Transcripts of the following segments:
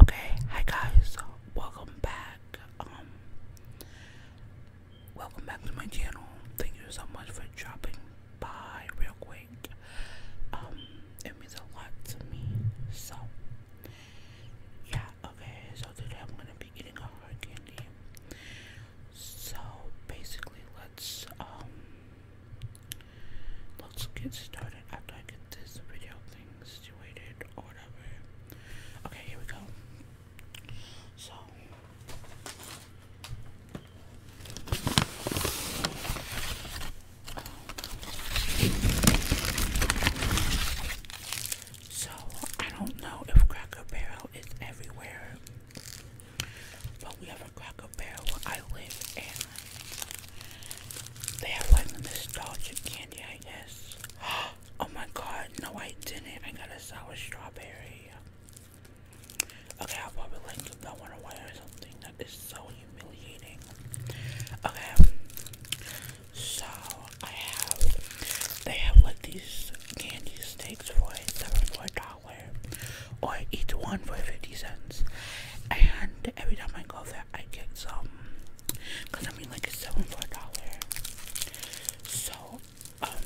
Okay, hi guys, welcome back. Um, welcome back to my channel. Thank you so much for dropping by real quick. Um, it means a lot to me. So, yeah, okay, so today I'm gonna be eating a hard candy. So basically, let's um, Let's get started after I get this video thing situated or whatever. Okay, here we go. So so I don't know if Cracker Barrel is everywhere, but we have a Cracker compare where I live they have like nostalgic candy, I guess. Oh my god, no I didn't. I got a sour strawberry. Okay, I'll probably like give that one away or something. That is so humiliating. Okay. So I have they have like these candy sticks for seven for a dollar or each one for fifty cents and every time I go there, I get some because I mean, like, it's seven for a dollar, so um,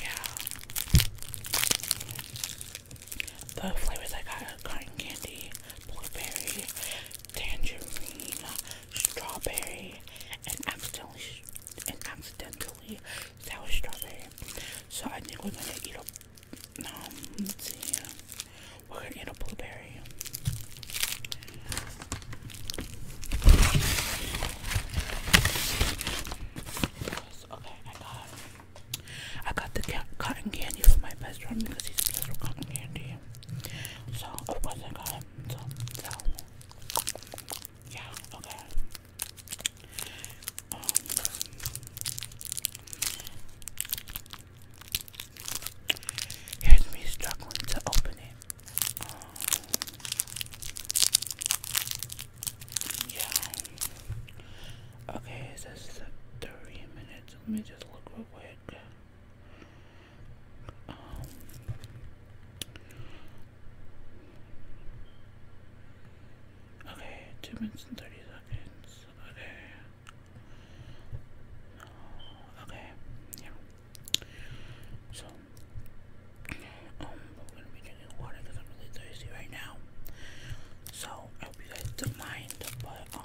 yeah. The flavors I got are cotton candy, blueberry, tangerine, strawberry, and accidentally and accidentally sour strawberry. So I think we're gonna eat a um, let's see. We're going a blueberry. Okay, I got I got the cotton candy for my best friend because he's a with cotton candy. So of oh, course I got him. So, yeah, okay. Um, Here's me struggling to open it. Um, yeah. Okay, it says three minutes. Let me just look real quick. Um, okay, two minutes and thirty seconds. Okay, yeah. So, um, I'm gonna be drinking water because I'm really thirsty right now. So, I hope you guys don't mind, but, um,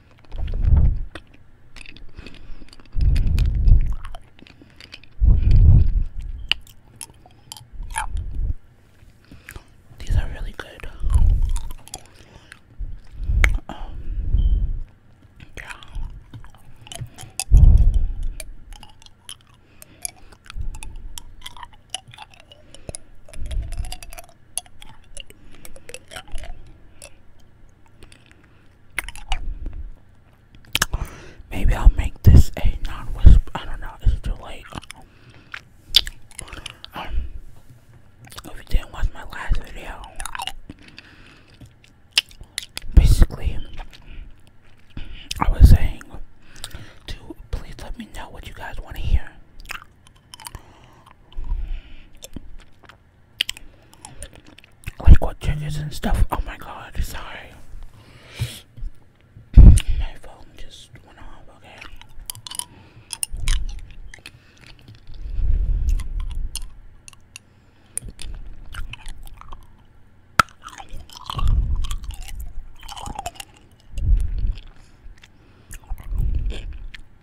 These are really good. Um, yeah. Maybe I'll make this a non-whisper. I don't know. It's too late. Um, if you didn't watch my last video, basically, I was saying to please let me know what you guys want to hear like what changes and stuff. Oh my god, sorry. My phone just went off, okay.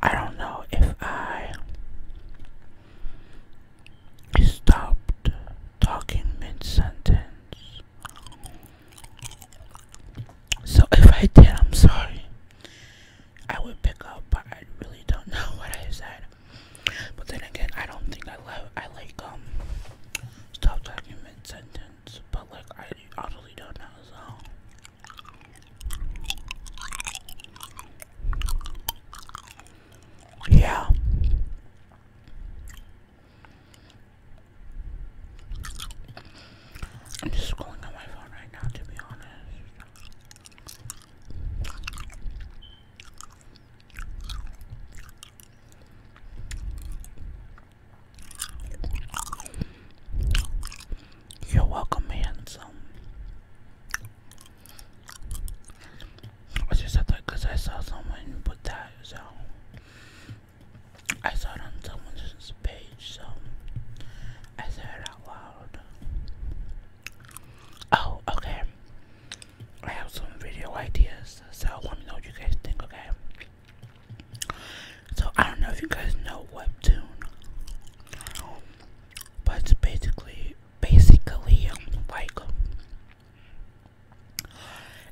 I don't know if I stopped talking mid sentence. So if I did, I'm sorry. I would pick up, but I really don't know what I said. But then again, I don't think I love. I like um. Stop talking mid sentence, but like I totally don't know. So yeah. I'm just scrolling on my phone right now, to be honest. You're welcome, handsome. I just said that I saw someone put that, so I saw it on someone's page, so I said it out loud. Oh, okay. I have some video ideas, so let me know what you guys think, okay? So, I don't know if you guys know what Webtoon, but basically, basically, um, like,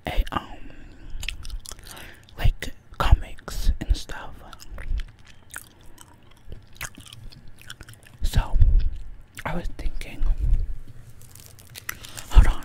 a um like comics and stuff. So I was thinking hold on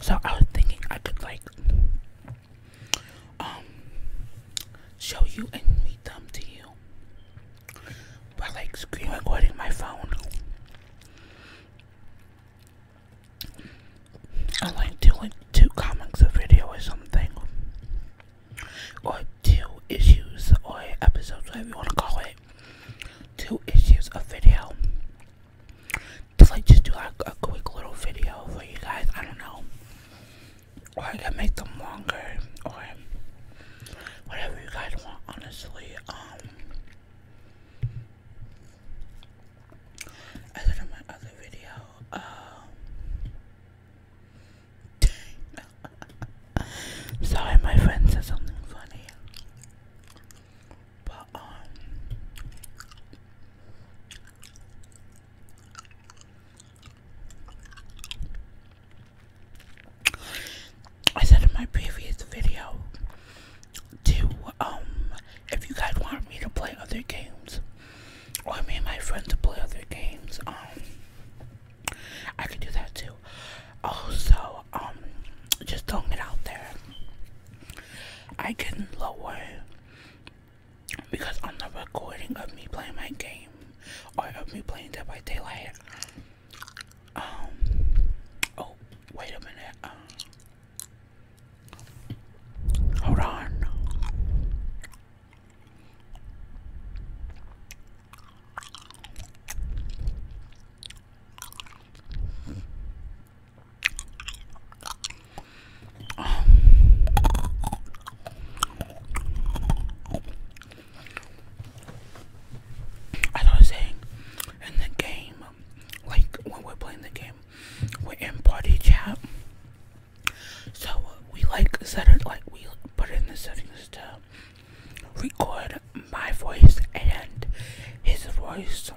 So I was thinking I could like um show you and read them to you. By like screen recording my phone. I like doing two comics a video or something. Or two issues or episodes, whatever you wanna call it two issues of video. Just like just do like a quick little video for you guys. I don't know. Or I can make them longer or whatever you guys want honestly. Um I said in my other video, um Sorry, my friend said something funny. Um, I said in my previous video to um if you guys want me to play other games or me and my friends to play other games, um I could do that too. Also, um, just don't get out there. I can not lower because on the recording of me playing my game or of me playing Dead by Daylight, um, oh, wait a minute, uh, hold on. As I was saying, in the game, like when we're playing the game, we're in party chat. So we like set it like we put in the settings to record my voice and his voice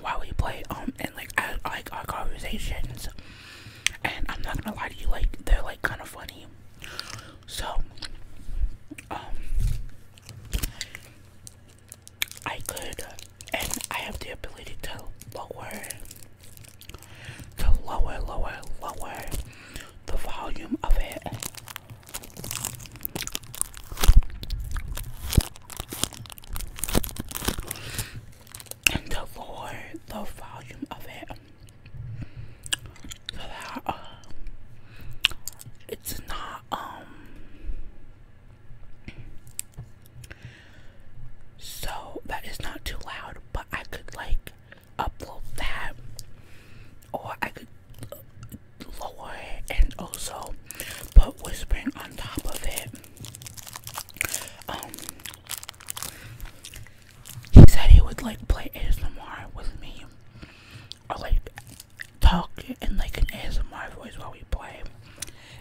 while we play um and like add like our conversations and I'm not gonna lie to you like they're like kind of funny so um I could and I have the ability to lower to lower lower lower the volume of it and to the volume of it so that uh, it's not um so that is not too loud but I could like upload that or I could lower and also put whispering on top of it. Um, he said he would like play ASMR with me, or like talk in like an ASMR voice while we play,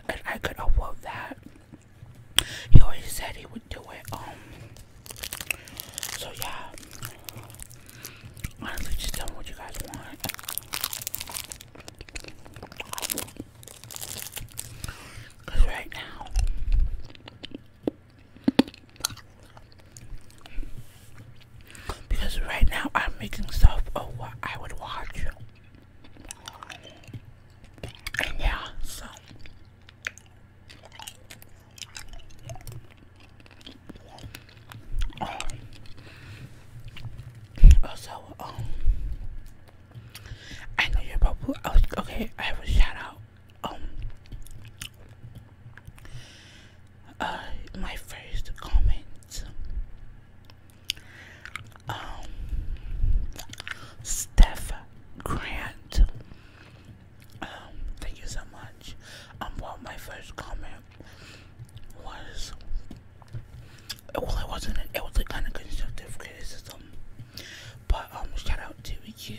and I could upload that. He always said he would do it. Um, so yeah, Honestly, just tell me what you guys want. Cause right now, because right now I'm making stuff of what I would watch. And yeah, so also, oh, um, I know you're about. okay, I have a shout out. Um, uh, my first comment. Um, Steph Grant thank you so much. Um, well, my first comment was, well, it wasn't, it was a kind of constructive criticism, but, um, shout out to you,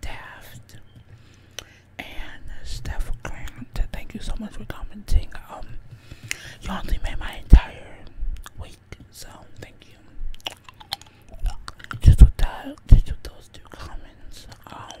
Daft, and Steph Grant, thank you so much for commenting, um, you honestly made my entire week, so, thank you. Just with that, just with those two comments, um,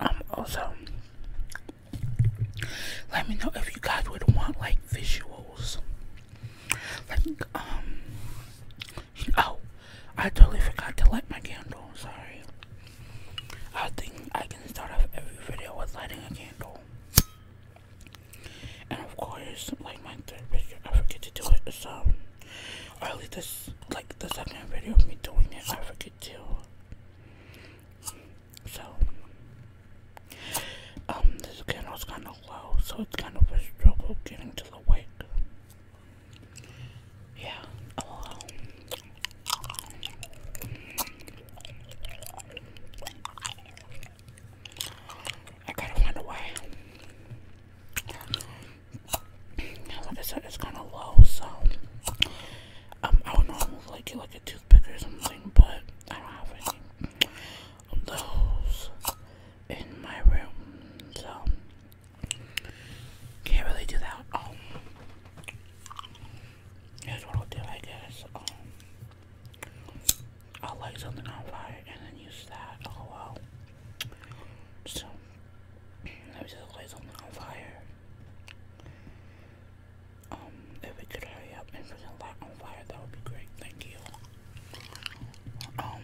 Um, also, let me know if you guys would want like visuals. Like, um, oh, I totally forgot to light my candle. Sorry. I think I can start off every video with lighting a candle. And of course, like my third video, I forget to do it. So, or at least this, like the second video of me doing it, I forget could So, um, this candle's kind of low, so it's kind of a struggle getting to the wick. Yeah, oh. I kind of wonder why. Like I said, it's kind of low, so um, I would normally like get like a toothpick or something, but I don't have any of those in my room, so can't really do that. Um, here's what I'll do, I guess. Um, I'll light something on fire and then use that. Oh well. So, let me just light something on fire. Um, if we could hurry up and put the light on fire, that would be great. Thank you. Um,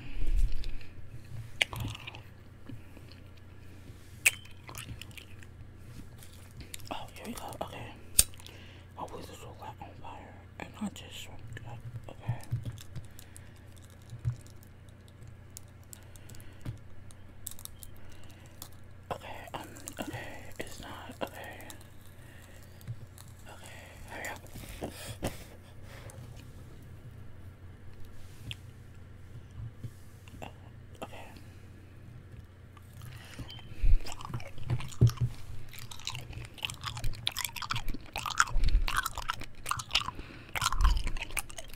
oh, here we go. Okay. Hopefully, this will light on fire and not just shrink Okay. Okay, um, okay, it's not, okay. Okay, hurry up. Uh,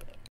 okay.